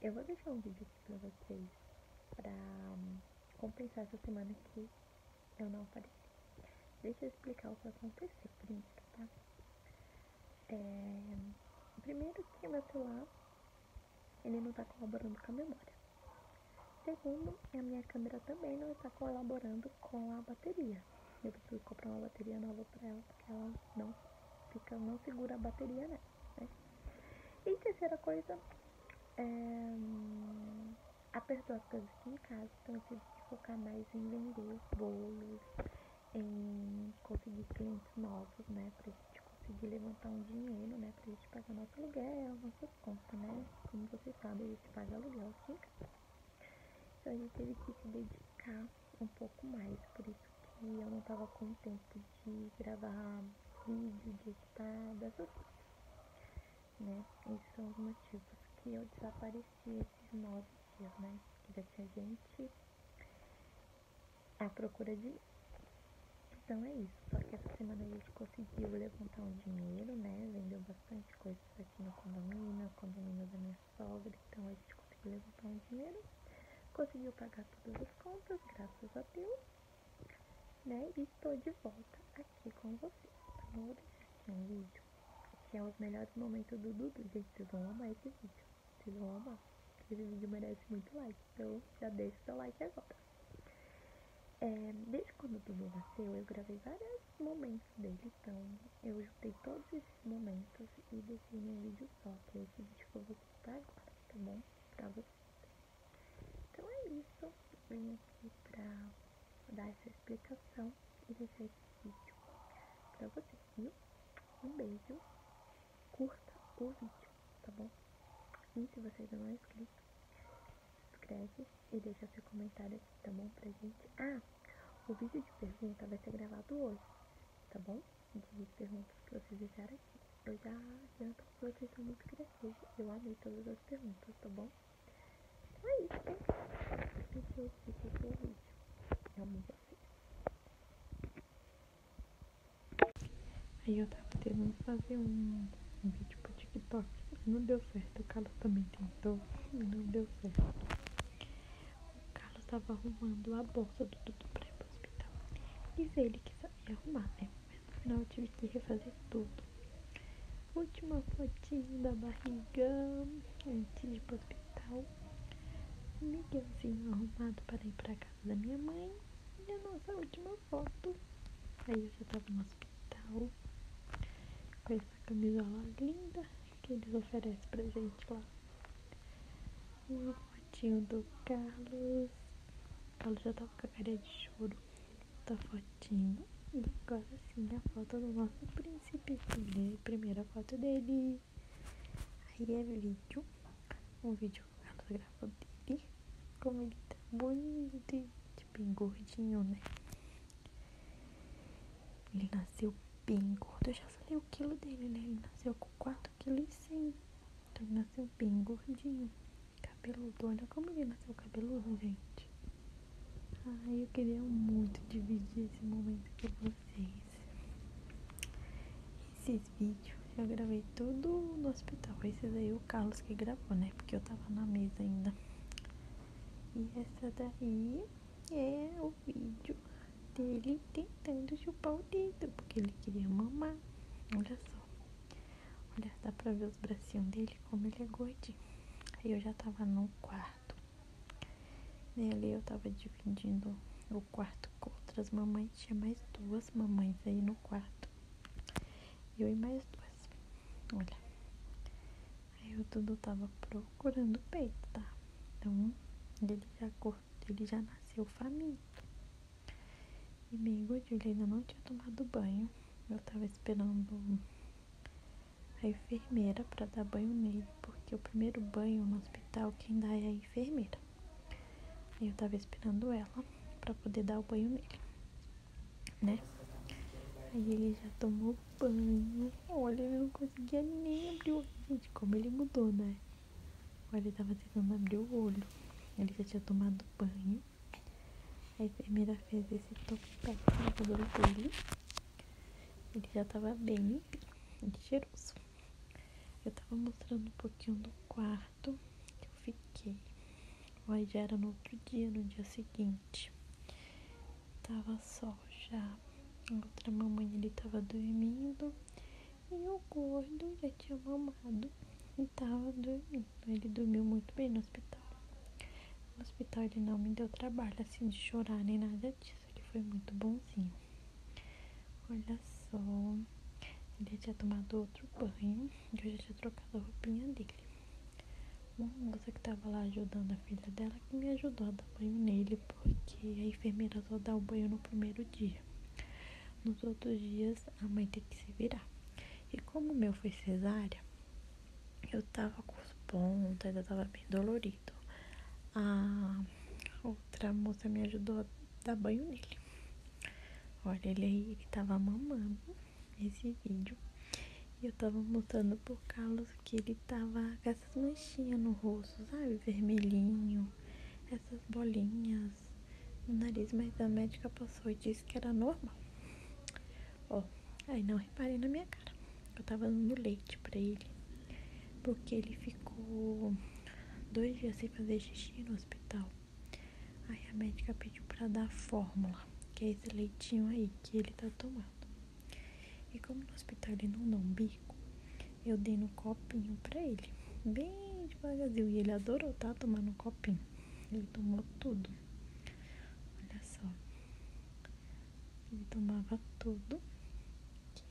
Eu vou deixar um vídeo aqui pra vocês pra hum, compensar essa semana que eu não apareci. Deixa eu explicar o que aconteceu primeiro, tá? É, primeiro que meu celular, ele não tá colaborando com a memória. Segundo, a minha câmera também não está colaborando com a bateria. Eu preciso comprar uma bateria nova para ela, porque ela não fica, não segura a bateria nela. Né? É. E terceira coisa, é, a as coisas aqui em casa, então eu tive que focar mais em vender bolos, em conseguir clientes novos, né? Pra gente conseguir levantar um dinheiro, né? Pra gente pagar nosso aluguel, nossa conta né? Como vocês sabem, a gente paga aluguel aqui em casa. Então a gente teve que se dedicar um pouco mais, por isso que eu não tava com tempo de gravar vídeo, de editar, dessas coisas, né? Esses são é os motivos que eu desapareci esses nove dias, né? Que já tinha gente a procura de Então é isso, só que essa semana a gente conseguiu levantar um dinheiro, né? Vendeu bastante coisas aqui no condomínio, no condomínio da minha sogra, então a gente conseguiu pagar todas as contas, graças a Deus, né? E estou de volta aqui com vocês Tá então, bom? Vou um vídeo que é os melhores momentos do Dudu. Gente, vocês vão amar esse vídeo. Vocês vão amar. Esse vídeo merece muito like. Então já deixa o seu like agora. É, desde quando o Dudu nasceu, eu gravei vários momentos dele. Então eu juntei todos esses momentos e deixei em vídeo só, que é esse vídeo que eu vou Tá? tá bom? Pra você. Então é isso. Eu vim aqui pra dar essa explicação e deixar esse vídeo pra vocês viu? Um beijo. Curta o vídeo, tá bom? E se você ainda não é inscrito, se inscreve e deixa seu comentário aqui, tá bom? Pra gente. Ah, o vídeo de pergunta vai ser gravado hoje, tá bom? de perguntas que vocês deixaram aqui. Eu já adianto que vocês são muito criativos. Eu amei todas as perguntas, tá bom? Então é isso, Eu amo vocês. Aí eu tava tentando fazer um, vídeo pro TikTok. Não deu certo. O Carlos também tentou. Não deu certo. O Carlos tava arrumando a bolsa do Dudu pra hospital. Então, diz ele que sabia arrumar, né? Mas no final eu tive que refazer tudo. Última fotinha da barriga antes de ir pro hospital. Miguelzinho arrumado para ir pra casa da minha mãe. E a nossa última foto. Aí eu já tava no hospital. Com essa camisola linda que eles oferecem pra gente lá. Uma fotinho do Carlos. O Carlos já tava tá com a cara de choro. Tá fotinho. E agora sim a foto do nosso príncipe. Primeira foto dele. Aí é vídeo. Um vídeo que o Carlos gravou dele. Como ele tá bonito e tipo, bem gordinho, né? Ele nasceu bem gordo. Eu já falei o quilo dele, né? Ele nasceu com quatro que sim, Então ele nasceu bem gordinho. Cabeludo. Olha como ele nasceu cabeludo, gente. Ai, eu queria muito dividir esse momento com vocês. Esses vídeos eu gravei tudo no hospital. Esses aí o Carlos que gravou, né? Porque eu tava na mesa ainda. E essa daí é o vídeo dele tentando chupar o dedo, porque ele queria mamar olha só. Olha, dá pra ver os bracinhos dele, como ele é gordinho. Aí eu já tava no quarto. E né, ali eu tava dividindo o quarto com outras mamães. Tinha mais duas mamães aí no quarto. Eu e mais duas. Olha. Aí eu Dudu tava procurando peito, tá? Então, ele já, ele já nasceu faminto. E meio gordinho, ainda não tinha tomado banho. Eu tava esperando a enfermeira para dar banho nele, porque o primeiro banho no hospital quem dá é a enfermeira. Aí eu tava esperando ela para poder dar o banho nele, né? Aí ele já tomou banho. Olha, ele não conseguia nem abrir o olho. Gente, como ele mudou, né? ele estava tentando abrir o olho. Ele já tinha tomado banho. A enfermeira fez esse topete no cabelo dele. Ele já estava bem cheiroso. Eu estava mostrando um pouquinho do quarto que eu fiquei. Aí já era no outro dia, no dia seguinte. estava só já. A outra mamãe ele tava dormindo. E o gordo já tinha mamado e estava dormindo. Ele dormiu muito bem no hospital. No hospital ele não me deu trabalho assim de chorar nem nada disso. Ele foi muito bonzinho. Olha só. Ele tinha tomado outro banho e eu já tinha trocado a roupinha dele. Uma moça que estava lá ajudando a filha dela que me ajudou a dar banho nele, porque a enfermeira só dá o banho no primeiro dia. Nos outros dias, a mãe tem que se virar. E como o meu foi cesárea, eu tava com os pontos, ainda tava bem dolorido. A outra moça me ajudou a dar banho nele. Olha, ele aí, ele tava mamando esse vídeo. E eu tava mostrando pro Carlos que ele tava com essas manchinhas no rosto, sabe? Vermelhinho, essas bolinhas no nariz, mas a médica passou e disse que era normal. Ó, aí não reparei na minha cara. Eu tava dando leite pra ele, porque ele ficou dois dias sem fazer xixi no hospital. Aí a médica pediu pra dar fórmula, que é esse leitinho aí que ele tá tomando. E como no hospital ele não dá um bico, eu dei no copinho pra ele, bem bastante Brasil e ele adorou, tá? Tomando copinho. Ele tomou tudo. Olha só. Ele tomava tudo.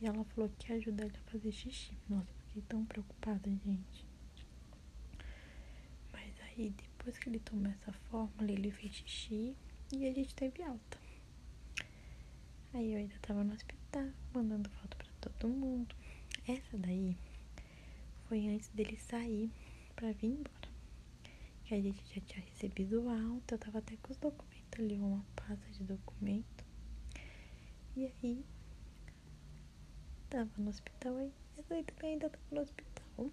E ela falou que ia ajudar ele a fazer xixi. Nossa, fiquei tão preocupada, gente. Mas aí, depois que ele tomou essa fórmula, ele fez xixi e a gente teve alta. Aí eu ainda tava no hospital, mandando foto para todo mundo. Essa daí foi antes dele sair para vir embora. Que a gente já tinha recebido o alta, eu tava até com os documentos ali, uma pasta de documento. E aí, tava no hospital aí, essa aí ainda tava no hospital.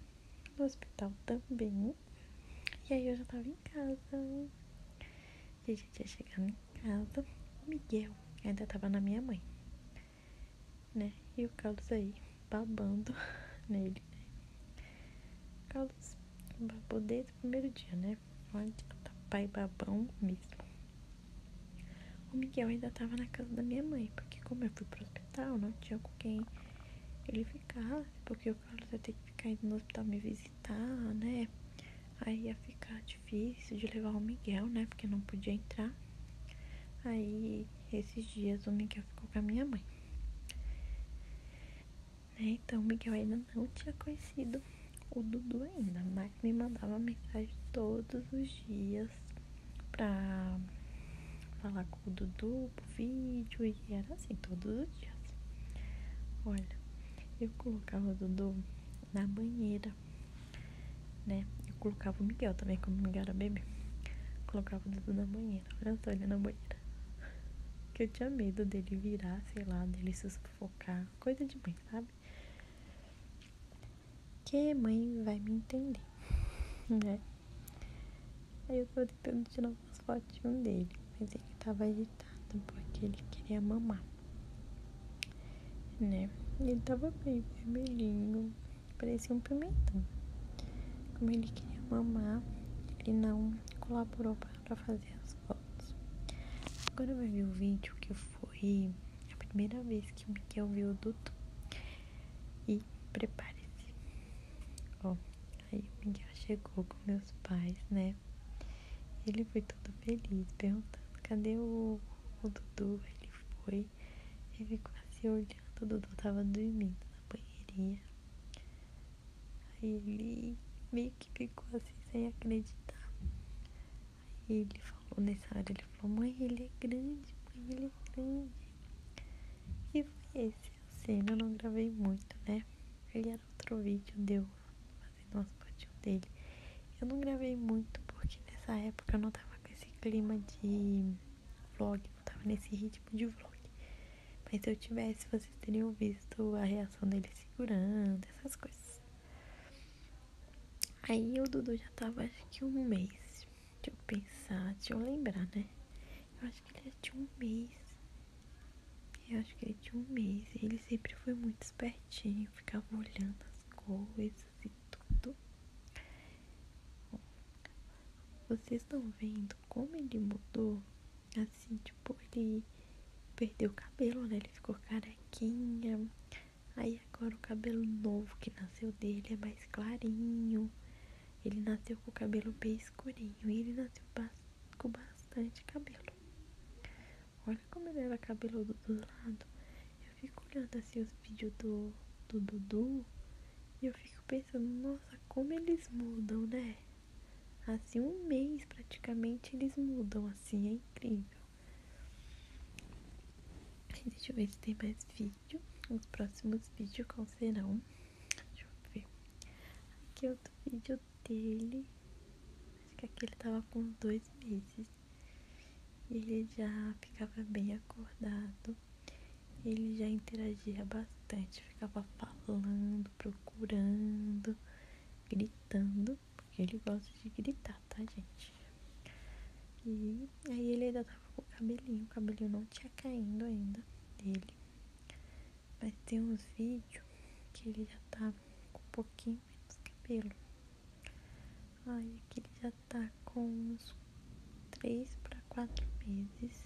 No hospital também. E aí eu já tava em casa. A gente já tinha em casa. Miguel Miguel ainda tava na minha mãe né? E o Carlos aí babando nele, Carlos babou desde o primeiro dia, né? onde tá pai babão mesmo. O Miguel ainda tava na casa da minha mãe, porque como eu fui pro hospital, não tinha com quem ele ficar, porque o Carlos ia ter que ficar indo no hospital me visitar, né? Aí ia ficar difícil de levar o Miguel, né? Porque não podia entrar. Aí, esses dias, o Miguel ficou com a minha mãe. Né, então, o Miguel ainda não tinha conhecido o Dudu ainda, mas me mandava mensagem todos os dias pra falar com o Dudu pro vídeo e era assim todos os dias. Olha, eu colocava o Dudu na banheira, né? Eu colocava o Miguel também, quando o Miguel era bebê. Colocava o dedo na banheira. Olha só, ele na banheira. Que eu tinha medo dele virar, sei lá, dele se sufocar. Coisa de mãe, sabe? Que mãe vai me entender, né? Aí eu tava tentando tirar umas fotinhas dele, mas ele tava agitado porque ele queria mamar né? Ele tava bem vermelhinho, parecia um pimentão. Como ele queria mamar, ele não colaborou para fazer as fotos. Agora vai ver o vídeo que foi a primeira vez que o Miguel viu o Dudu. E prepare-se. Ó, aí o Miguel chegou com meus pais, né? Ele foi todo feliz, perguntando: cadê o o Dudu, ele foi e ficou assim olhando. O Dudu tava dormindo na banheirinha. Aí ele meio que ficou assim sem acreditar. Aí ele falou nessa hora, ele falou, mãe, ele é grande, mãe, ele é grande. E foi esse a cena, eu não gravei muito, né? Ele era outro vídeo, deu fazendo umas fotinhas dele. Eu não gravei muito porque nessa época eu não tava com esse clima de vlog, não tava nesse ritmo de vlog. Mas se eu tivesse, vocês teriam visto a reação dele segurando, essas coisas. Aí o Dudu já tava acho que um mês. Deixa eu pensar, deixa eu lembrar, né? Eu acho que ele já é tinha um mês. Eu acho que ele tinha é um mês. Ele sempre foi muito espertinho, ficava olhando as coisas e tudo. vocês estão vendo como ele mudou? Assim, tipo, ele perdeu o cabelo, né? Ele ficou carequinha. Aí agora o cabelo novo que nasceu dele é mais clarinho. Ele nasceu com o cabelo bem escurinho. E ele nasceu com bastante cabelo. Olha como ele era cabelo do lado eu fico olhando assim os vídeos do, do Dudu e eu fico pensando, nossa, como eles mudam, né? Assim, um mês praticamente eles mudam, assim, é incrível. Deixa eu ver se tem mais vídeos Os próximos vídeos qual serão? Deixa eu ver. Aqui é outro vídeo dele. Acho que aquele tava com dois meses ele já ficava bem acordado, ele já interagia bastante, ficava falando, procurando, gritando, porque ele gosta de gritar, tá, gente? E aí ele ainda tava com o cabelinho, o cabelinho não tinha caindo ainda dele. Mas tem uns vídeos que ele já tava tá com pouquinho menos cabelo. Olha, aqui ele já tá com uns 3 para 4 meses.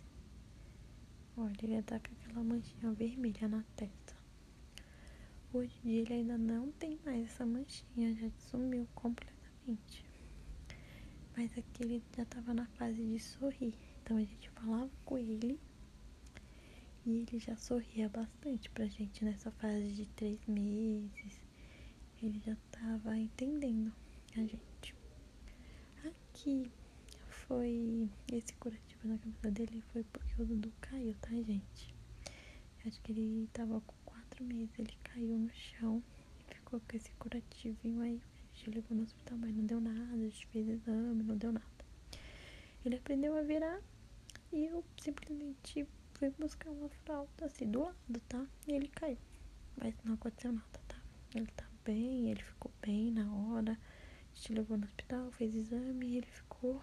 Olha, ele já tá com aquela manchinha vermelha na testa. Hoje em ele ainda não tem mais essa manchinha, já sumiu completamente. Mas aqui ele já tava na fase de sorrir. Então a gente falava com ele e ele já sorria bastante pra gente nessa fase de três meses. Ele já estava entendendo a gente. Aqui foi. Esse curativo na cabeça dele foi porque o Dudu caiu, tá, gente? acho que ele tava com quatro meses, ele caiu no chão e ficou com esse curativinho aí. A gente levou no hospital, mas não deu nada, a gente fez exame, não deu nada. Ele aprendeu a virar e eu simplesmente fui buscar uma fralda assim do lado, tá? E ele caiu. Mas não aconteceu nada, tá? Ele tá bem, ele ficou bem na hora. A gente levou no hospital, fez exame e ele ficou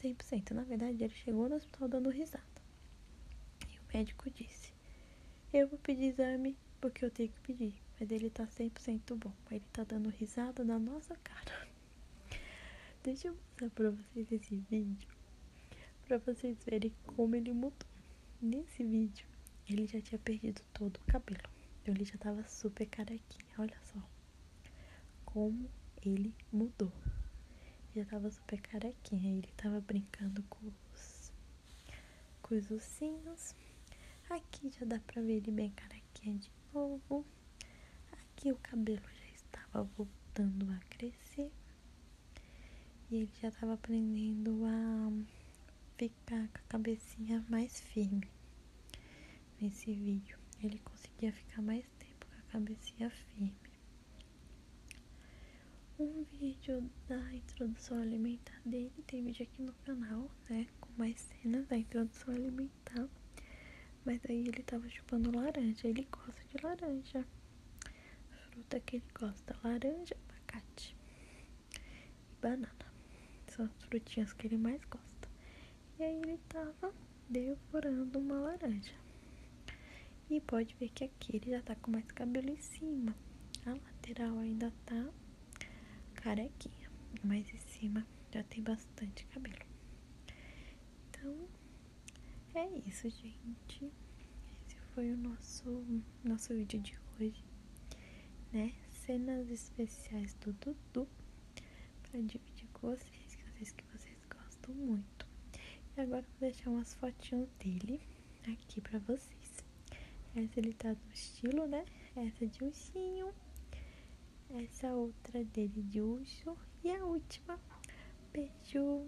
100%. Na verdade, ele chegou no hospital dando risada. E o médico disse: Eu vou pedir exame porque eu tenho que pedir. Mas ele tá 100% bom. mas Ele tá dando risada na nossa cara. Deixa eu mostrar pra fiz esse vídeo para vocês verem como ele mudou. Nesse vídeo, ele já tinha perdido todo o cabelo. Então, ele já tava super carequinha. Olha só como ele mudou. Já tava super carequinha. Ele tava brincando com os, com Aqui já dá para ver ele bem carequinha de novo. Aqui o cabelo já estava voltando a crescer. E ele já estava aprendendo a ficar com a cabecinha mais firme nesse vídeo. Ele conseguia ficar mais tempo com a cabecinha firme. Um vídeo da introdução alimentar dele, tem vídeo aqui no canal, né? Com mais cenas da introdução alimentar. Mas aí ele tava chupando laranja, ele gosta de laranja. Fruta que ele gosta: laranja, abacate e banana. São as frutinhas que ele mais gosta. E aí ele tava devorando uma laranja. E pode ver que aqui ele já tá com mais cabelo em cima. A lateral ainda tá carequinha, mas em cima já tem bastante cabelo. Então, é isso, gente. Esse foi o nosso, nosso vídeo de hoje, né? Cenas especiais do Dudu para dividir com vocês, que eu sei que vocês gostam muito. E agora vou deixar umas fotinhas dele aqui para vocês. Essa ele tá no estilo, né? Essa de ursinho. Essa outra dele de urso. E a última. Beijo!